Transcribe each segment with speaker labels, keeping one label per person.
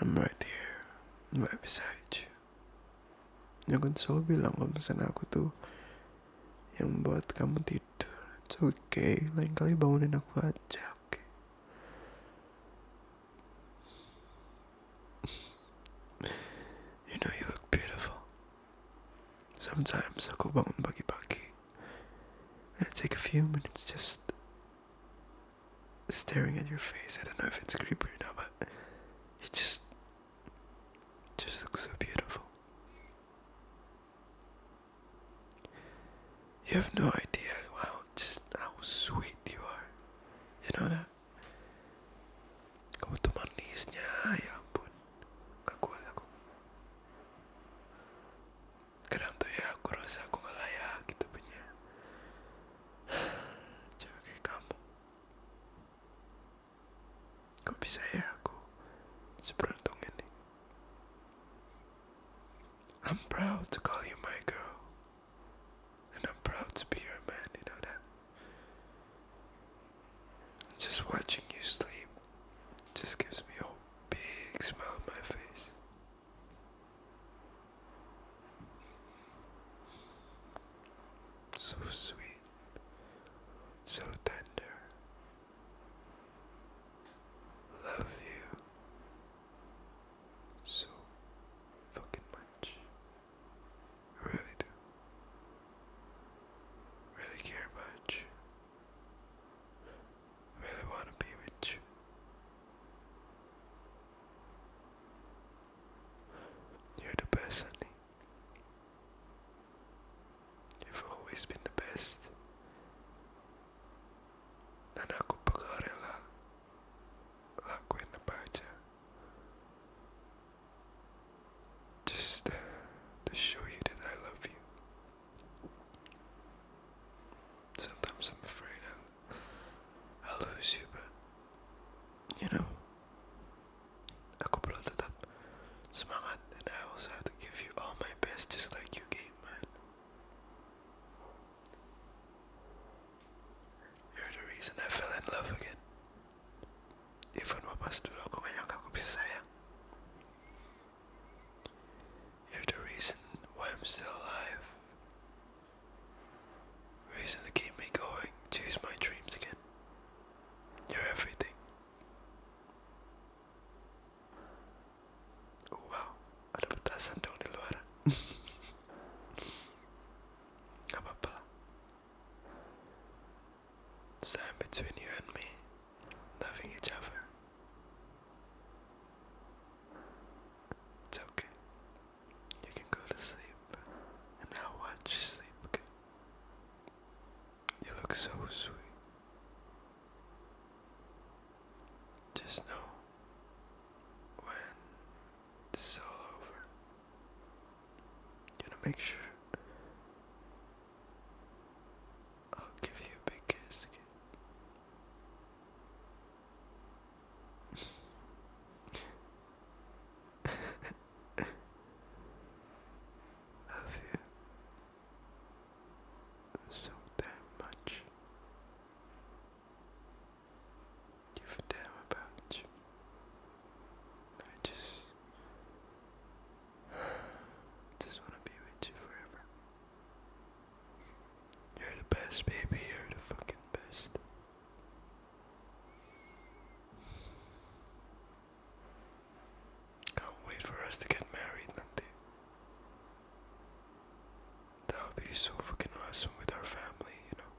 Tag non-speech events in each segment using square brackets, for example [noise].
Speaker 1: I'm right here, right beside you. Yang kan selalu bilang kalau misalnya aku tuh yang buat kamu tidur. It's okay, lain kali bangunin aku aja, oke? Okay? [laughs] you know you look beautiful. Sometimes I go aku bangun pagi-pagi. I take a few minutes just staring at your face. I don't know if it's creepy or not, but you just just look so beautiful. You have no idea how just how sweet you are. You know that? Kamu tuh manisnya, ya ampun. Gak aku kadang tuh ya aku rasa aku gak layak gitu punya [sighs] cewek kayak kamu kok bisa ya aku seberuntung ini I'm proud to call you my girl and I'm proud to be your man you know that just watching you sleep just gives me a big smile on my face so sweet, so tender. Love you so fucking much. really do. Really care much. I really want to be with you. You're the best, honey. You've always been the best. Na nakupagare la la kwenda paja. Just to show you that I love you. Sometimes I'm afraid I'll, lose you, but you know, ako pala tetap semangat, and I also have to give you all my best, just like you gave mine. You're the reason I fell in love again. Even wapas dulu aku gak nyangka aku bisa sayang. You're the reason why I'm still alive. Reason to keep me going, chase my dreams again. You're everything. Oh, wow, ada petasan dong di luar. Gak apa-apa. Stand between you and me, loving each other. It's okay. You can go to sleep, and I'll watch you sleep. You look so sweet. Just know when it's all over, you wanna make sure? I'll give you a big kiss [laughs] Love you so damn much give a damn about you. I just [sighs] just wanna be with you forever. You're the best, baby. You're the fucking best. Can't wait for us to get married, Nandi. That would be so fucking awesome with our family, you know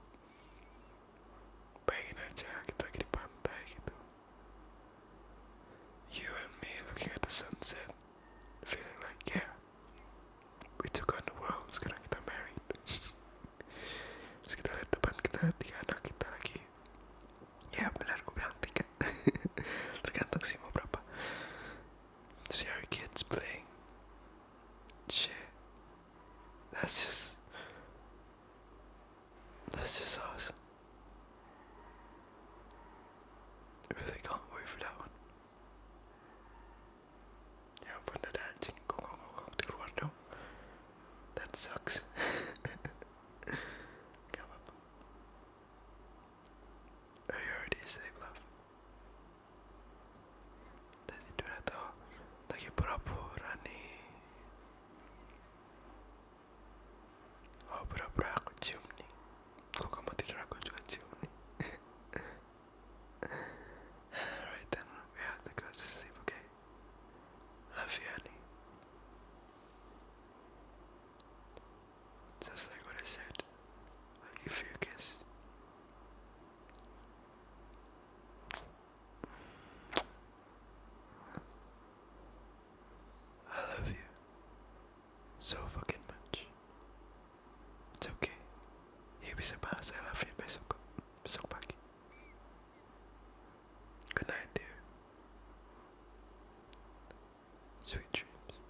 Speaker 1: you and me looking at the sunset feeling like yeah we took on the world sekarang kita married terus kita lihat depan kita tiga anak kita lagi ya benar gue bilang tiga tergantung sih mau berapa see our kids playing shit that's just. That's just awesome. I really can't wait for that one. Yeah, but no, that didn't go, go, go, go, That sucks. [laughs] Come up. Are you already asleep, love? δεν την τουρετώ, τα κεπραπουρανή. Όπρα πράγμα τσιούμνη, κόκκαμα τη ράκοτσουκα τσιούμνη. Right then, we have to go to sleep, okay? Love you, honey. Just like what I said. Will you focus? I love you so fucking much. It's okay. You be surprised I love you, but so so back. Good night, dear. Sweet dreams.